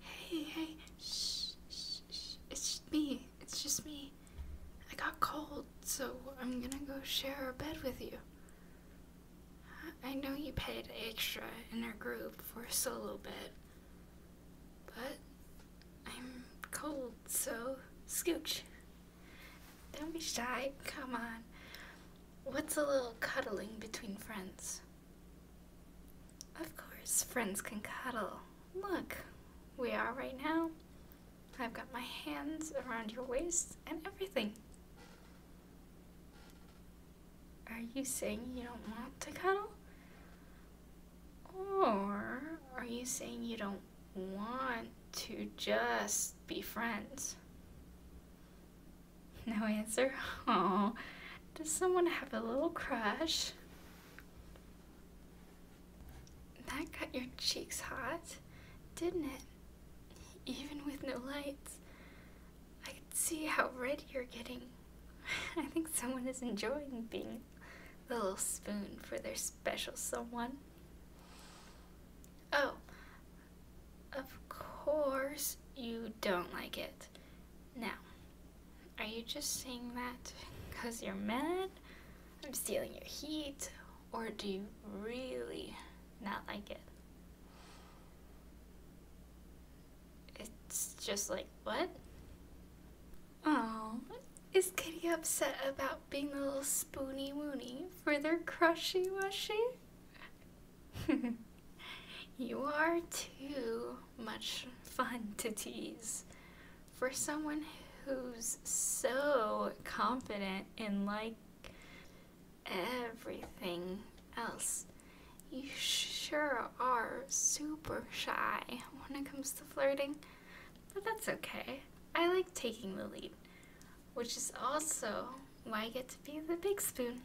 Hey, hey, shh, shh, shh, it's just me, it's just me. I got cold, so I'm gonna go share a bed with you. I know you paid extra in our group for a solo bed, but I'm cold, so scooch. Don't be shy, come on. What's a little cuddling between friends? Of course, friends can cuddle. Look, we are right now. I've got my hands around your waist and everything. Are you saying you don't want to cuddle? Or are you saying you don't want to just be friends? No answer? Oh, does someone have a little crush? That got your cheeks hot, didn't it? Even with no lights. I could see how red you're getting. I think someone is enjoying being the little spoon for their special someone. Oh, of course you don't like it. Now, are you just saying that because you're mad? I'm stealing your heat? Or do you really not like it? It's just like, what? Oh, is Kitty upset about being a little spoony woony for their crushy washy? you are too much fun to tease. For someone who's so confident in like everything else, you sure are super shy when it comes to flirting. But that's okay. I like taking the lead, which is also why I get to be the big spoon.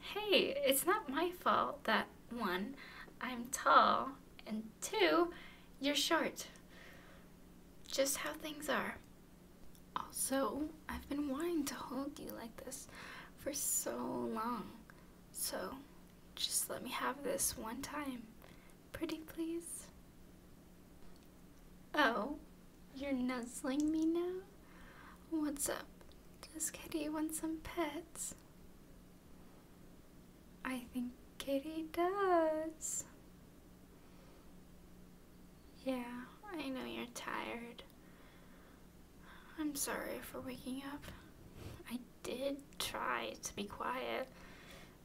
Hey, it's not my fault that one, I'm tall, and two, you're short. Just how things are. Also, I've been wanting to hold you like this for so long. So, just let me have this one time. Pretty please? Oh, you're nuzzling me now? What's up? Does Kitty want some pets? I think Kitty does. Yeah, I know you're tired. I'm sorry for waking up. I did try to be quiet,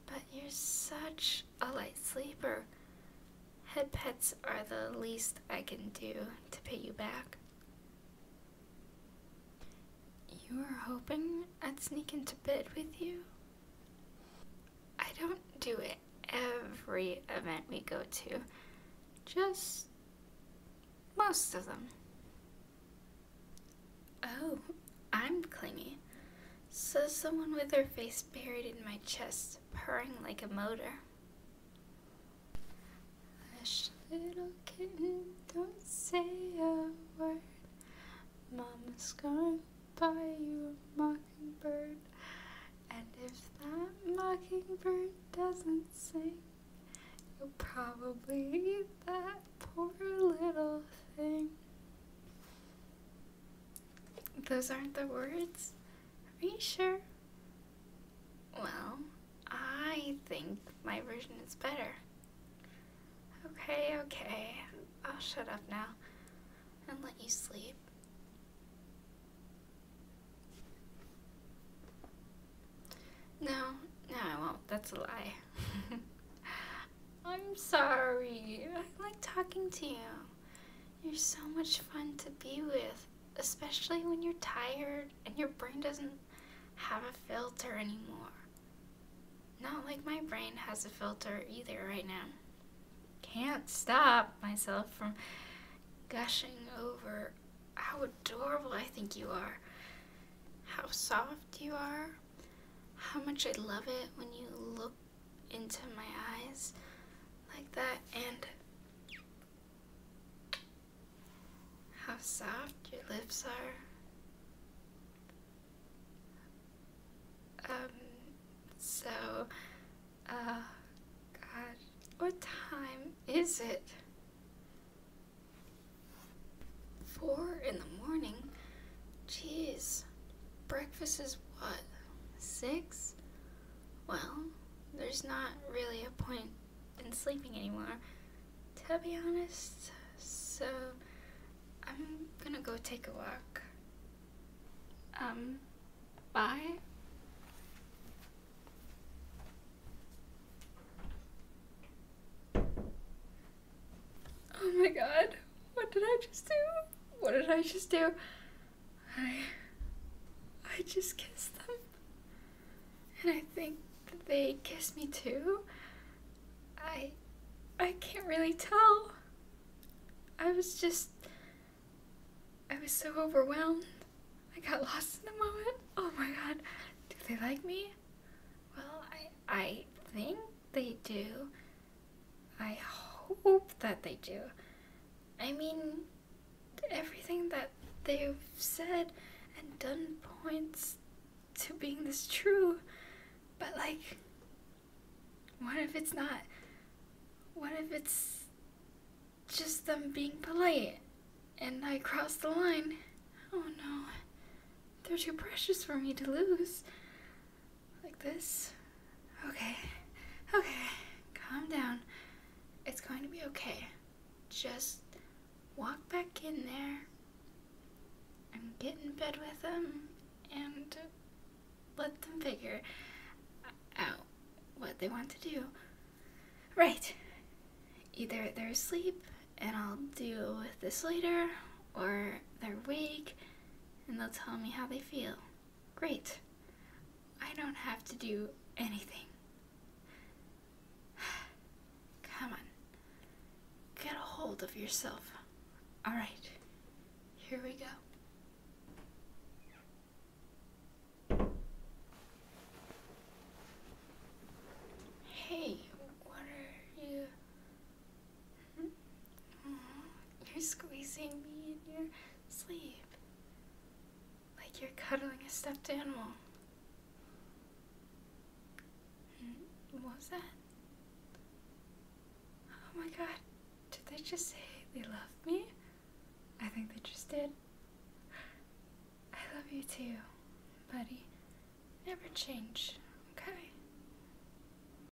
but you're such a light sleeper. Head pets are the least I can do to pay you back. You were hoping I'd sneak into bed with you? I don't do it every event we go to, just most of them. Oh, I'm clingy, says someone with her face buried in my chest, purring like a motor little kitten, don't say a word. Mama's gonna buy you a mockingbird. And if that mockingbird doesn't sing, you'll probably eat that poor little thing. Those aren't the words. Are you sure? Well, I think my version is better. Okay, okay. I'll shut up now and let you sleep. No, no, I won't. That's a lie. I'm sorry. I like talking to you. You're so much fun to be with, especially when you're tired and your brain doesn't have a filter anymore. Not like my brain has a filter either right now. Can't stop myself from gushing over how adorable I think you are, how soft you are, how much I love it when you look into my eyes like that and how soft your lips are. Um, so, uh, God, what time is it? Four in the morning? Jeez, breakfast is what? Six? well, there's not really a point in sleeping anymore, to be honest. So, I'm gonna go take a walk. Um, bye. Oh my god, what did I just do? What did I just do? I I just kissed them. And I think that they kissed me too. I I can't really tell. I was just I was so overwhelmed. I got lost in the moment. Oh my god. Do they like me? Well, I I think they do. I hope that they do. I mean, everything that they've said and done points to being this true, but like, what if it's not? What if it's just them being polite and I crossed the line? Oh no, they're too precious for me to lose. Like this? Okay. Okay. Calm down. It's going to be okay. Just walk back in there and get in bed with them and let them figure out what they want to do. Right. Either they're asleep and I'll deal with this later, or they're awake and they'll tell me how they feel. Great. I don't have to do anything. Come on. Get a hold of yourself. All right. Here we go. Hey, what are you Mm-hmm. You're squeezing me in your sleep. Like you're cuddling a stuffed animal. Mm-hmm. What was that? Oh my god, did they just say they love me? I think they just did. I love you too, buddy. Never change, okay?